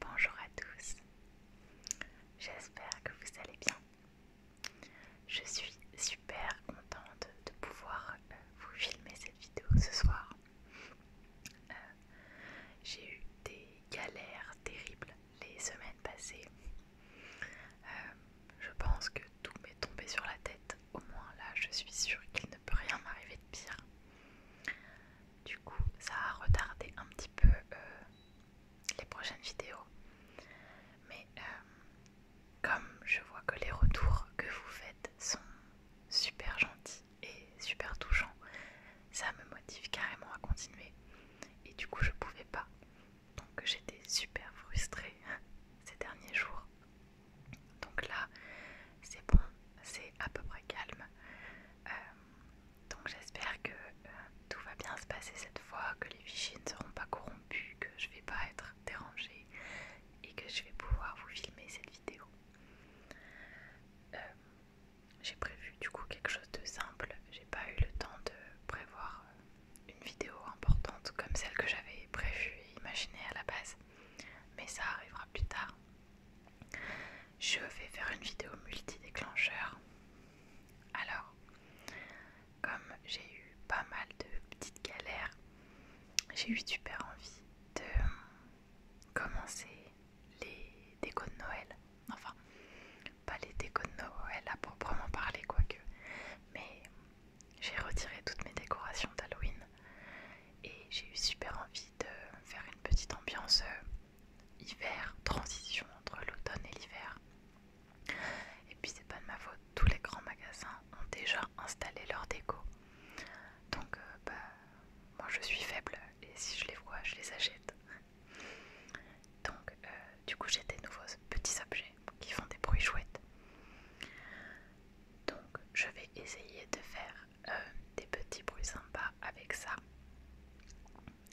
Bonjour à tous, j'espère que vous allez bien. Je suis super contente de pouvoir euh, vous filmer cette vidéo ce soir. Euh, j'ai eu des galères terribles les semaines passées. Euh, je pense que tout m'est tombé sur la tête. Au moins là, je suis sûre qu'il ne peut rien m'arriver de pire. Du coup, ça a retardé un petit peu euh, les prochaines vidéos. Mais euh, comme je vois que les retours que vous faites sont super gentils et super touchants, ça me motive carrément à continuer. Et du coup, je pouvais pas. Donc, j'étais super frustrée ces derniers jours. Donc là, c'est bon, c'est à peu près calme. Euh, donc j'espère que euh, tout va bien se passer cette fois, que les fichiers ne seront pas corrompus, que je vais pas être dérangée et que je vais pouvoir vous filmer cette vidéo. Euh, j'ai prévu du coup quelque chose de simple. J'ai pas eu le temps de prévoir euh, une vidéo importante comme celle que j'avais prévue et imaginée à la base, mais ça arrivera plus tard. Je vais faire une vidéo multi-déclencheur. Alors, comme j'ai eu pas mal de petites galères, j'ai eu super envie de euh, commencer les décos de Noël. Enfin, pas les décos de Noël à proprement parler, quoique. Mais j'ai retiré toutes mes décorations d'Halloween et j'ai eu super envie de faire une petite ambiance euh, hiver, transition entre l'automne et l'hiver. Et puis c'est pas de ma faute, tous les grands magasins ont déjà installé leurs déco. Donc euh, bah moi je suis faible et si je les vois je les achète. Donc, euh, du coup, j'ai des nouveaux petits objets qui font des bruits chouettes. Donc, je vais essayer de faire euh, des petits bruits sympas avec ça,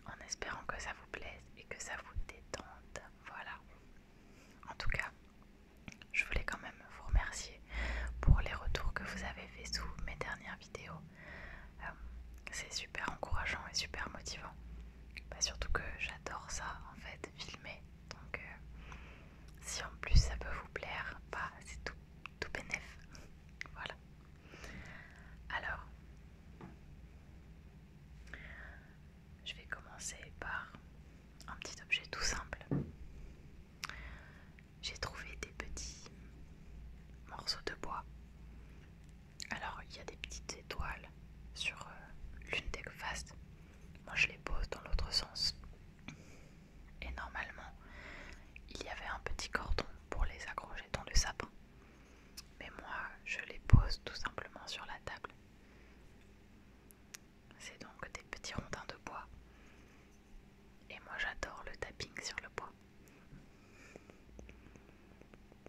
en espérant que ça vous plaise et que ça vous détende. Voilà. En tout cas, je voulais quand même vous remercier pour les retours que vous avez fait sous mes dernières vidéos. Euh, c'est super encourageant et super motivant. Bah, surtout que j'adore ça en fait, filmer. Donc euh, si en plus ça peut vous plaire, bah, c'est tout, tout bénef. Voilà. Alors, je vais commencer par un petit objet tout simple. J'ai trouvé des petits morceaux de bois alors, il y a des petites étoiles sur euh, l'une des faces. Moi, je les pose dans l'autre sens. Et normalement, il y avait un petit cordon pour les accrocher dans le sapin. Mais moi, je les pose tout simplement sur la table. C'est donc des petits rondins de bois. Et moi, j'adore le tapping sur le bois.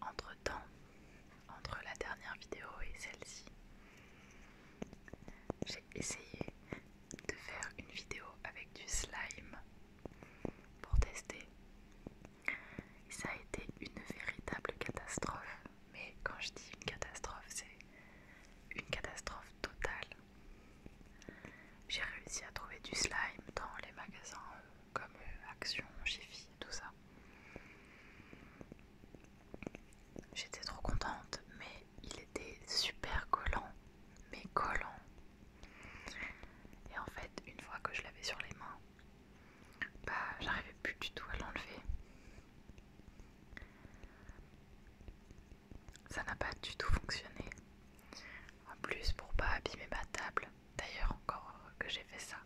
Entre temps, entre la dernière vidéo et celle-ci, j'ai essayé de faire une vidéo avec du slime pour tester. ça a été une véritable catastrophe. Mais quand je dis une catastrophe, c'est une catastrophe totale. J'ai réussi à trouver du slime dans les magasins euh, comme euh, Action, Gifi, tout ça. J'étais trop contente, mais il était super collant, mais collant. Et en fait, une fois que je l'avais sur les mains, bah j'arrivais plus du tout à l'enlever. Ça n'a pas du tout fonctionné. En plus, pour pas abîmer ma table, d'ailleurs encore que j'ai fait ça,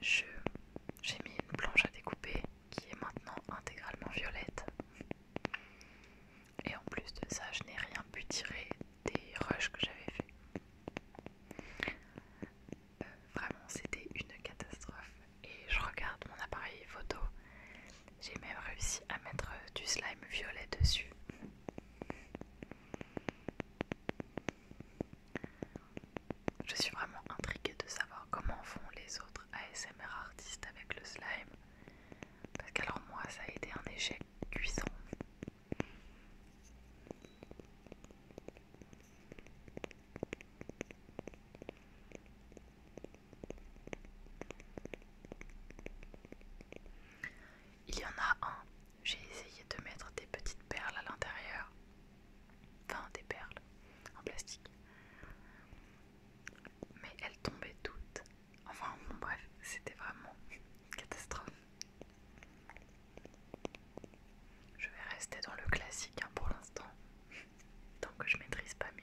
j'ai mis une planche à découper qui est maintenant intégralement violette. Et en plus de ça, je n'ai rien pu tirer des rushs que j'avais fait. Euh, vraiment, c'était une catastrophe. Et je regarde mon appareil photo. J'ai même réussi à mettre du slime violet dessus. Je suis vraiment intriguée de savoir comment font les autres ASMR artistes avec le slime. Parce qu'alors moi ça a été un échec cuisant. Il y en a un, j'ai essayé de mettre des petites perles à l'intérieur, enfin des perles en plastique, mais elles tombaient toutes. Enfin bon bref, c'était vraiment une catastrophe. Je vais rester dans le classique hein, pour l'instant, tant que je maîtrise pas mieux.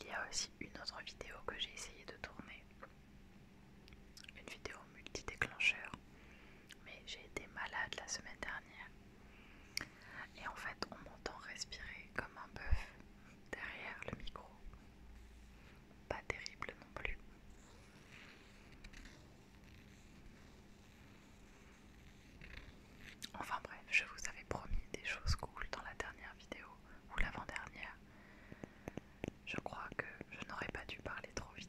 Il y a aussi une autre vidéo que j'ai essayé de tourner, une vidéo multi-déclencheur, mais j'ai été malade la semaine dernière. Et en fait, on m'entend respirer comme un bœuf derrière le micro. Pas terrible non plus. Enfin bref, je vous avais promis des choses cool dans la dernière vidéo ou l'avant-dernière je crois que je n'aurais pas dû parler trop vite.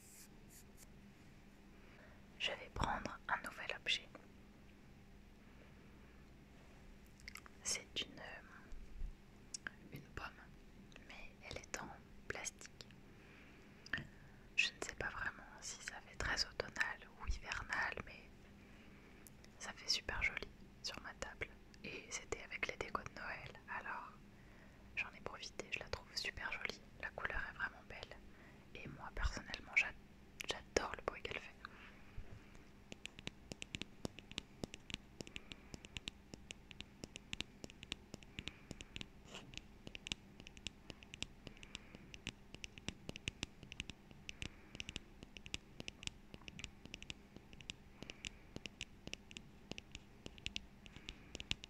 Je vais prendre un nouvel objet. C'est euh, une, pomme, mais elle est en plastique. Je ne sais pas vraiment si ça fait très automnal ou hivernal, mais ça fait super joli sur ma table. Et c'était avec les décos de Noël, alors j'en ai profité, je la trouve super jolie, la couleur est vraiment belle et moi personnellement j'adore le bruit qu'elle fait.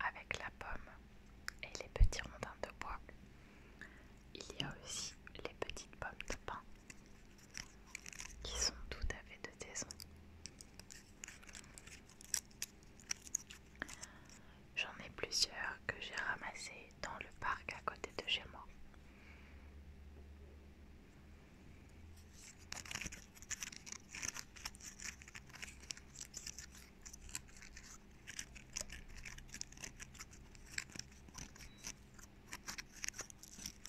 Avec la pomme et les petits rondins de bois, il y a aussi les petites pommes de pain qui sont tout à fait de saison. J'en ai plusieurs que j'ai ramassés dans le parc à côté de chez moi.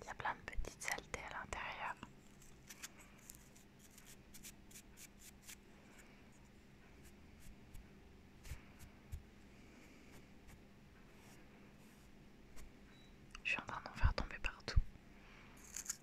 Il y a plein de petites saletés à l'intérieur. Je suis en train d'en faire tomber partout.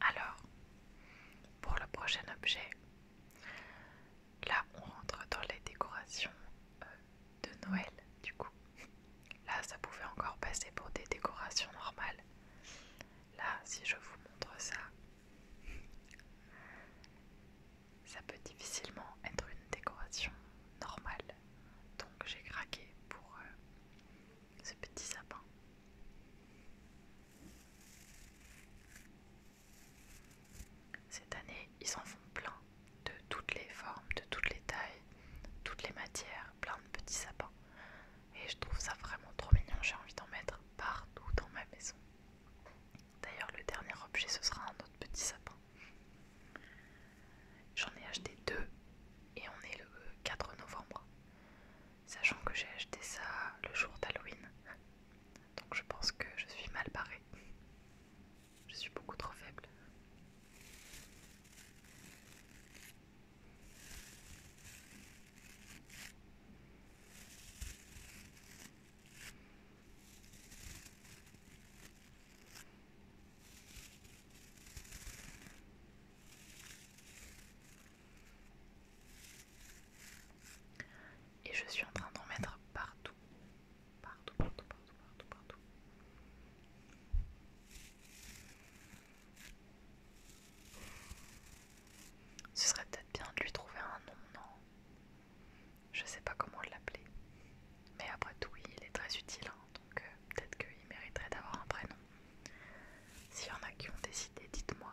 Alors, pour le prochain objet, là on rentre dans les décorations euh, de Noël du coup. Là ça pouvait encore passer pour des décorations normales. Là si je vous montre ça, ça peut difficilement être une décoration normale. Donc j'ai craqué pour euh, ce petit sapin. Cette année, ils en font plein, de toutes les formes, de toutes les tailles, toutes les matières, plein de petits sapins. Et je trouve ça vraiment trop mignon, j'ai envie d'en mettre partout dans ma maison. D'ailleurs, le dernier objet, ce sera un autre petit sapin. J'en ai acheté deux et on est le 4 novembre sachant que j'ai acheté ça le jour d'Halloween. Donc je pense que je suis mal barrée. Je suis beaucoup trop faible. Et je suis en train d'en mettre partout. Partout, partout, partout, partout, Ce serait peut-être bien de lui trouver un nom, non Je sais pas comment l'appeler. Mais après tout, il est très utile, hein, donc... Euh, peut-être qu'il mériterait d'avoir un prénom. S'il y en a qui ont décidé, dites-moi.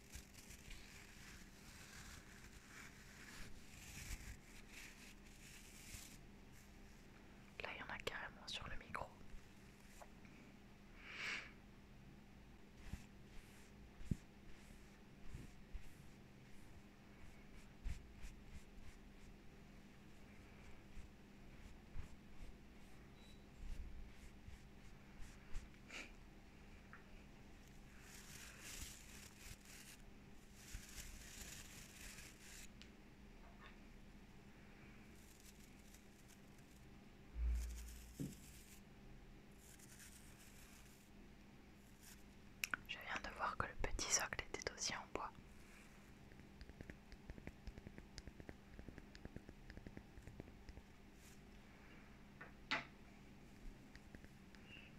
Là, il y en a carrément sur le micro. Je viens de voir que le petit socle était aussi en bois.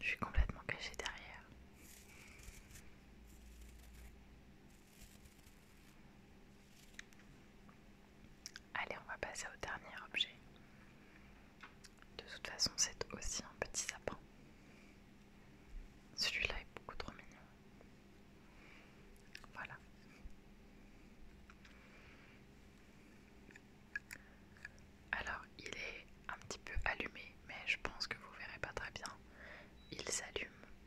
Je suis complètement cachée derrière. Allez, on va passer au dernier objet. De toute façon, c'est aussi un petit sapin. Celui-là est beaucoup trop mignon. Voilà. Alors, il est un petit peu allumé, mais je pense que vous verrez pas très bien. Il s'allume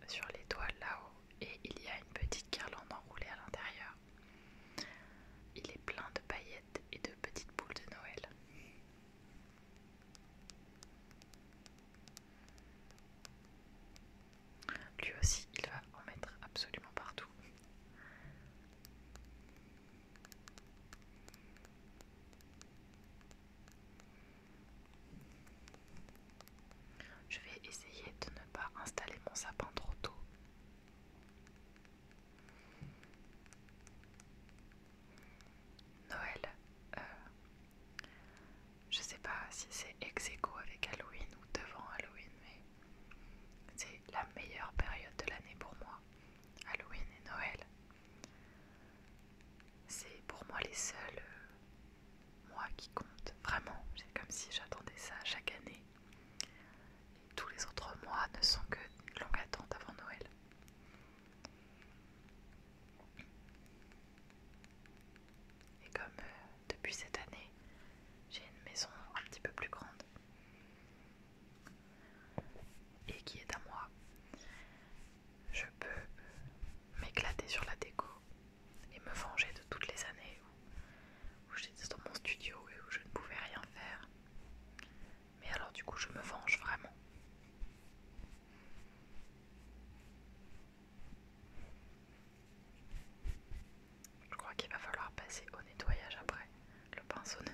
sur les toiles là-haut et il y a une petite guirlande enroulée à l'intérieur. Il est plein de paillettes et de petites boules de Noël. Lui aussi, il va en mettre absolument partout. Je vais essayer de ne pas installer mon sapin trop tôt. Noël, euh, je sais pas si c'est ex aequo avec Halloween ou devant Halloween, mais c'est la meilleure période de l'année pour moi. Halloween et Noël. C'est pour moi les seuls euh, mois qui comptent. Vraiment, c'est comme si j'attendais ça chaque année. tous les autres mois ne sont que une longue attente avant Noël. Et comme euh, depuis cette année, j'ai une maison un petit peu plus grande et qui est à moi, je peux m'éclater sur la déco et me venger de toutes les années où j'étais dans mon studio et où je ne pouvais rien faire. Mais alors du coup, je me venge vraiment. Je crois qu'il va falloir passer au nettoyage après. Le pinceau ne pas.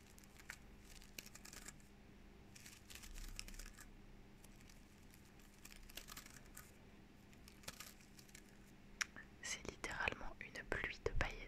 C'est littéralement une pluie de paillettes.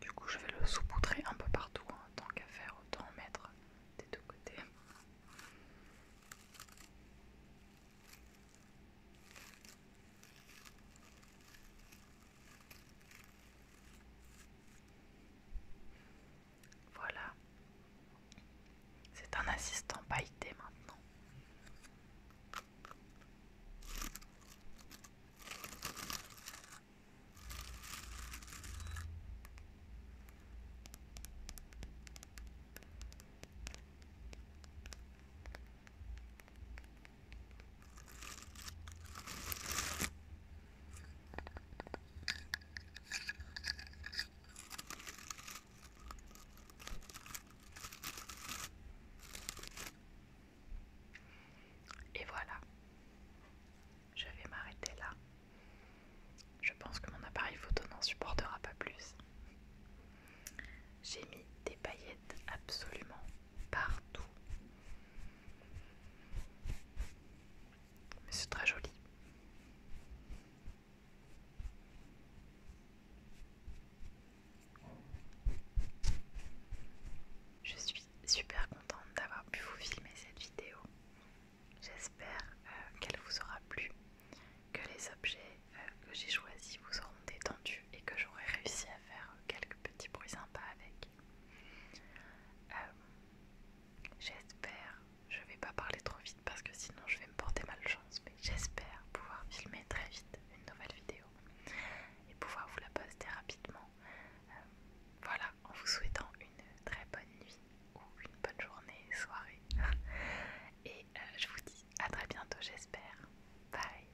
Du coup, je vais le saupoudrer un peu partout, en hein, tant qu'à faire, autant mettre des deux côtés. Voilà. C'est un assistant pailleté maintenant. Et voilà, je vais m'arrêter là. Je pense que mon appareil photo n'en supportera pas plus. J'ai mis des paillettes absolument partout. Mais c'est très joli. Je suis super contente d'avoir pu vous filmer cette vidéo. J'espère euh, qu'elle vous aura plu, que les objets euh, que j'ai choisis vous auront détendu et que j'aurais réussi à faire quelques petits bruits sympas avec. Euh, j'espère, je vais pas parler trop vite parce que sinon je vais me porter malchance, mais j'espère pouvoir filmer très vite une nouvelle vidéo et pouvoir vous la poster rapidement. Euh, voilà, en vous souhaitant une très bonne nuit ou une bonne journée, soirée. Et euh, je vous dis à très bientôt, j'espère. Bye